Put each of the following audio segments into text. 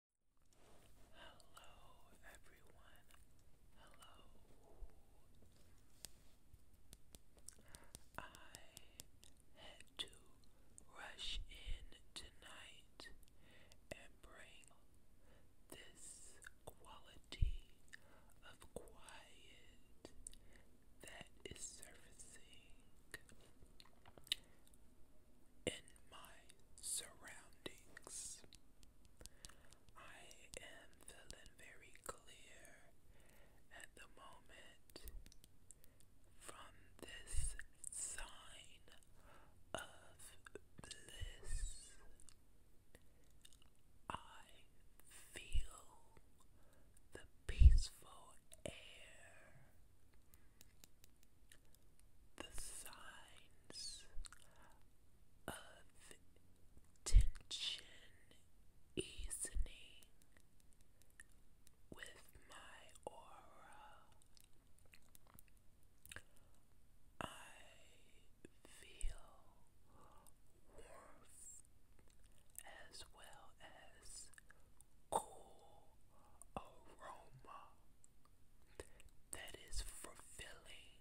Hello everyone. Hello. I had to rush in tonight and bring this quality of quiet that is surfacing in my surroundings. I am feeling very clear at the moment from this sign of bliss. I feel the peaceful air the signs of tension easing with my aura. I feel warmth as well as cool aroma that is fulfilling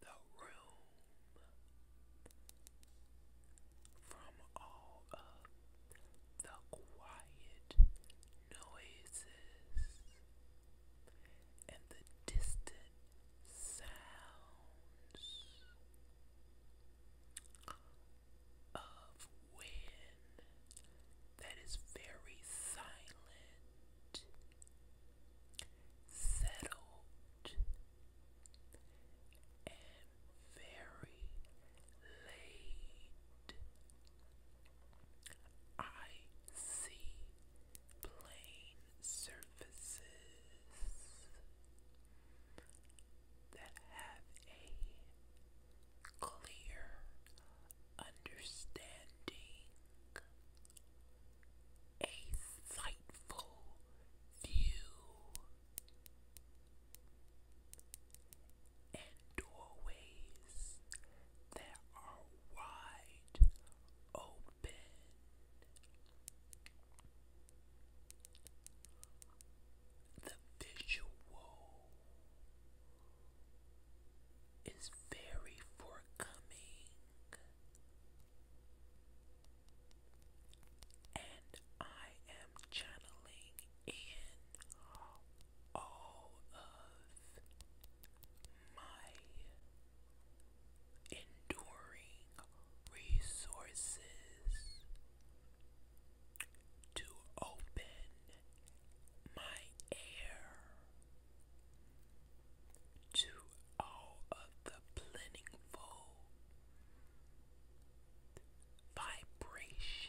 the room from all of the quiet noises and the distant sounds of wind that is very silent, settled, and very late. I see plain surfaces that have a clear understanding, a sightful view, and doorways that are wide open. The visual is very forthcoming and I am channeling in all of my enduring resources to open my heir to all of the plentiful vibrations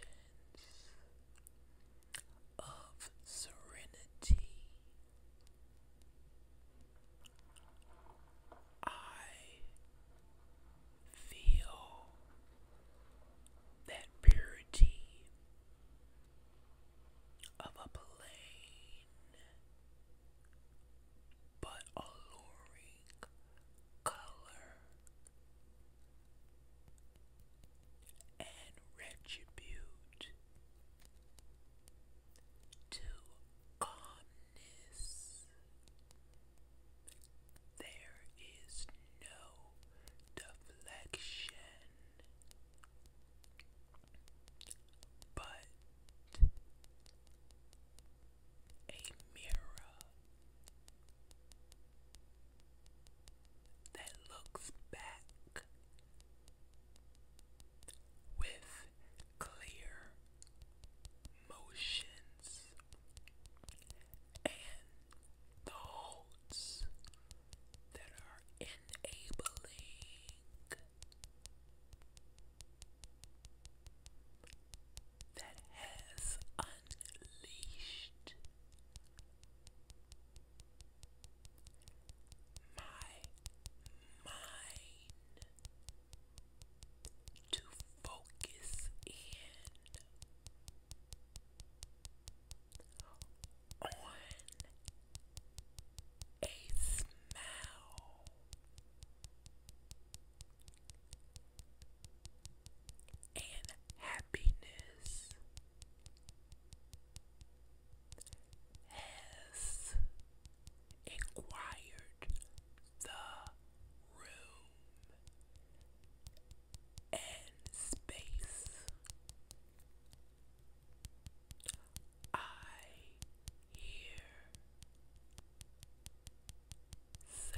of serenity. I feel that purity of a plain but alluring color and retribute to calmness. There is no but a mirror that looks back with clear motions and the that are enabling that has unleashed my mind to focus in on a smell. And happiness has inquired the room and space. I hear sounds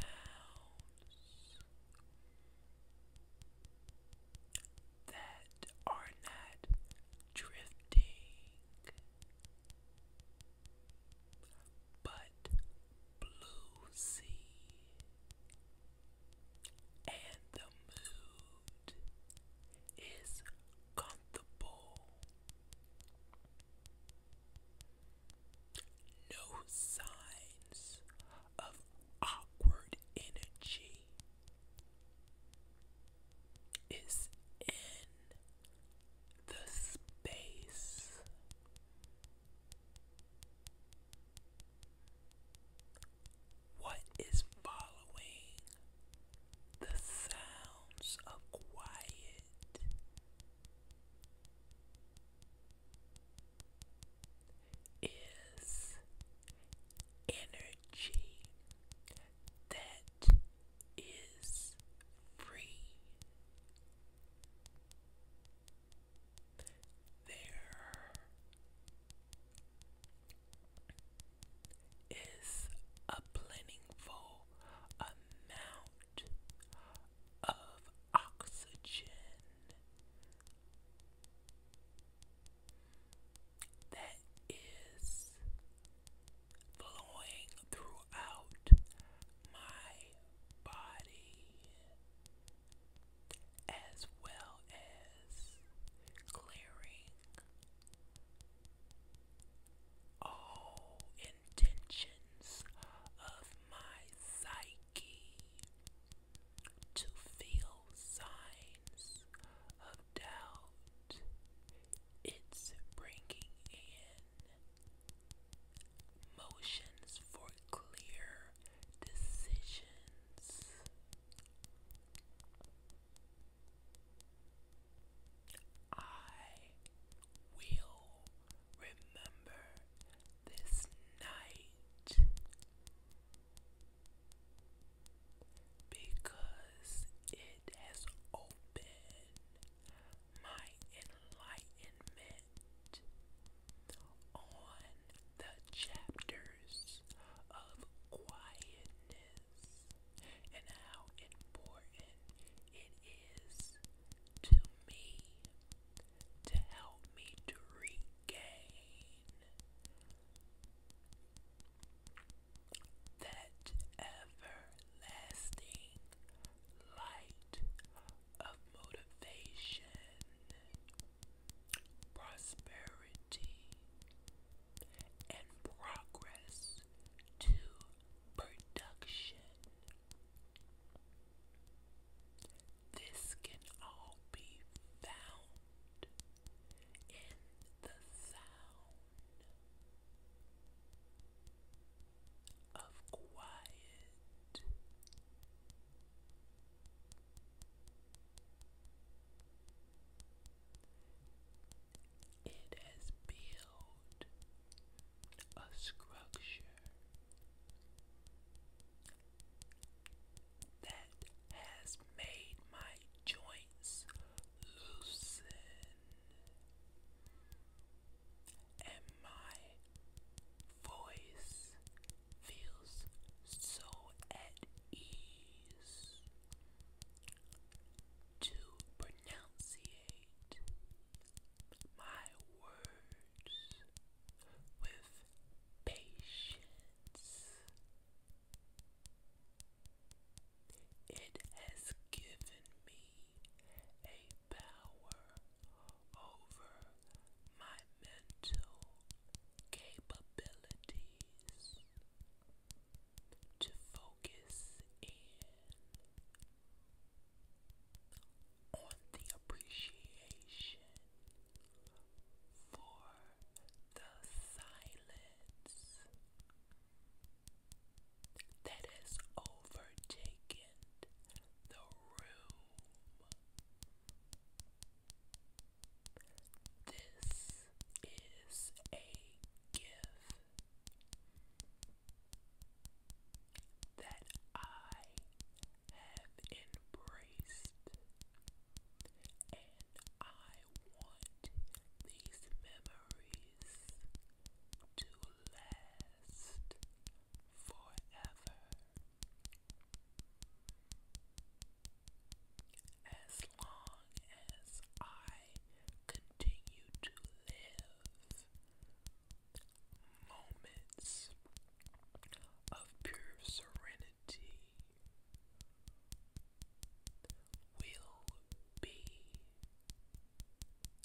that are not drifting but blue sea and the mood is comfortable. No signs of awkward energy is in the space. What is following? The sounds of quiet. Is energy that is free. There is a plentiful amount of oxygen that is flowing throughout my body as well as clearing all intentions of my psyche to feel signs of doubt. It's bringing in motions for clear decisions. I will remember this night because it has opened my enlightenment on the chapters of quietness and how important it is to me to help me to regain that everlasting light of motivation prosperity, and progress to production. This can all be found in the sound of quiet it has built a structure that has made my joints loosen and my voice feels so at ease to pronunciate my words with patience. It has given me a power over my mental capabilities to focus in on the appreciation for the silence that has overtaken the room. This is a gift that I have embraced, and I want these memories to last forever. As long as I continue to live, moments of pure serenity will be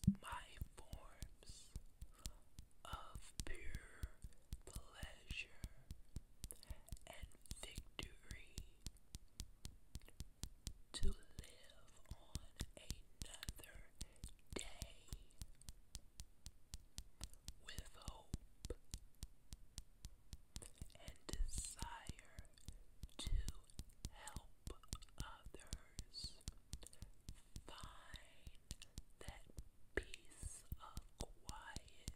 my forms of pure pleasure and victory to live on another day with hope and desire to help others find that peace of quiet.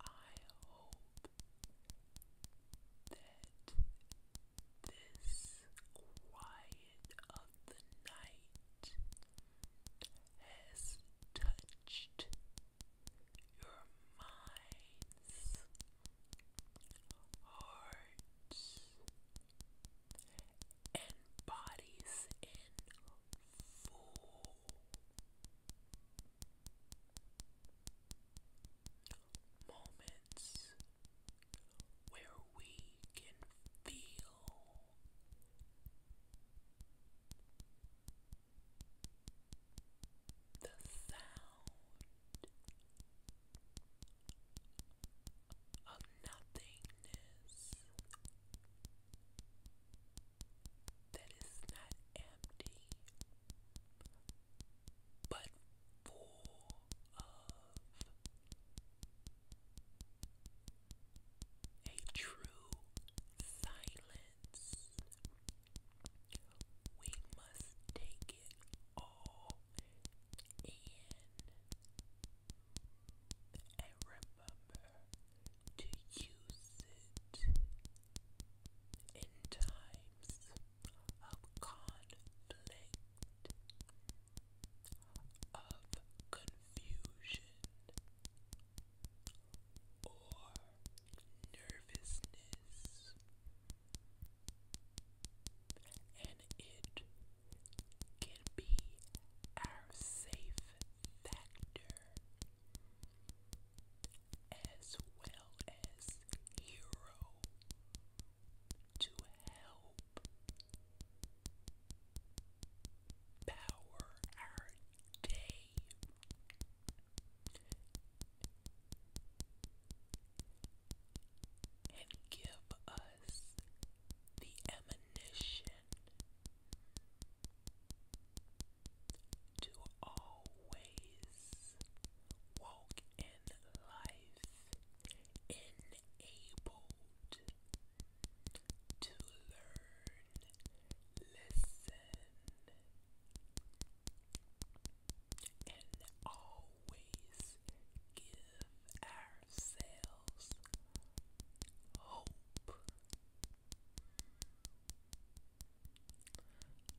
I hope that this quiet of the night has touched your minds, hearts, and bodies in full. Moments where we can feel the sound of nothingness that is not empty but full of a true silence. We must take it all in and remember to use it in times of conflict, of confusion, or nervousness and it can be our safe factor as well as hero to help power our day and give us the ammunition to always walk in life enabled to learn, listen, and always give ourselves hope.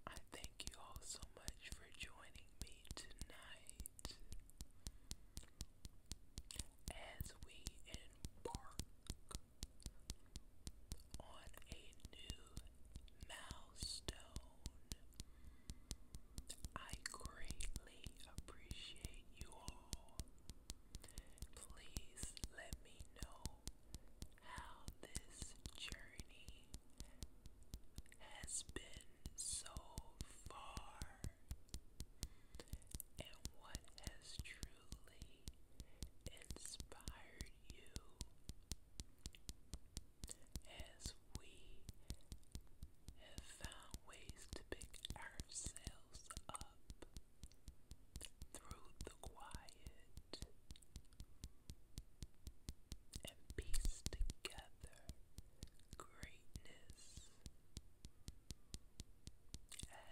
I thank you all so much for joining me tonight as we embark on a new milestone. I greatly appreciate you all. Please let me know how this journey has been so far and what has truly inspired you as we have found ways to pick ourselves up through the quiet and piece together greatness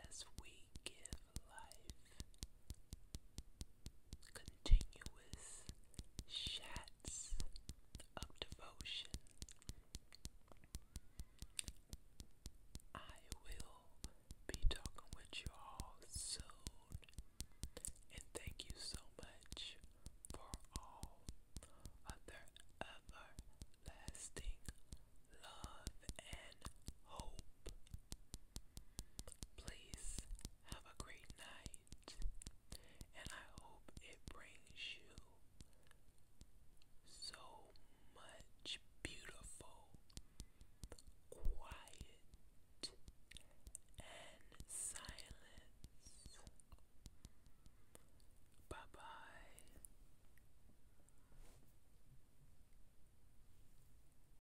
as we give life continuous shats of devotion. I will be talking with you all soon. And thank you so much for all of their everlasting love and hope. Please have a great night, and I hope it brings you so much beautiful, quiet, and silence. Bye bye.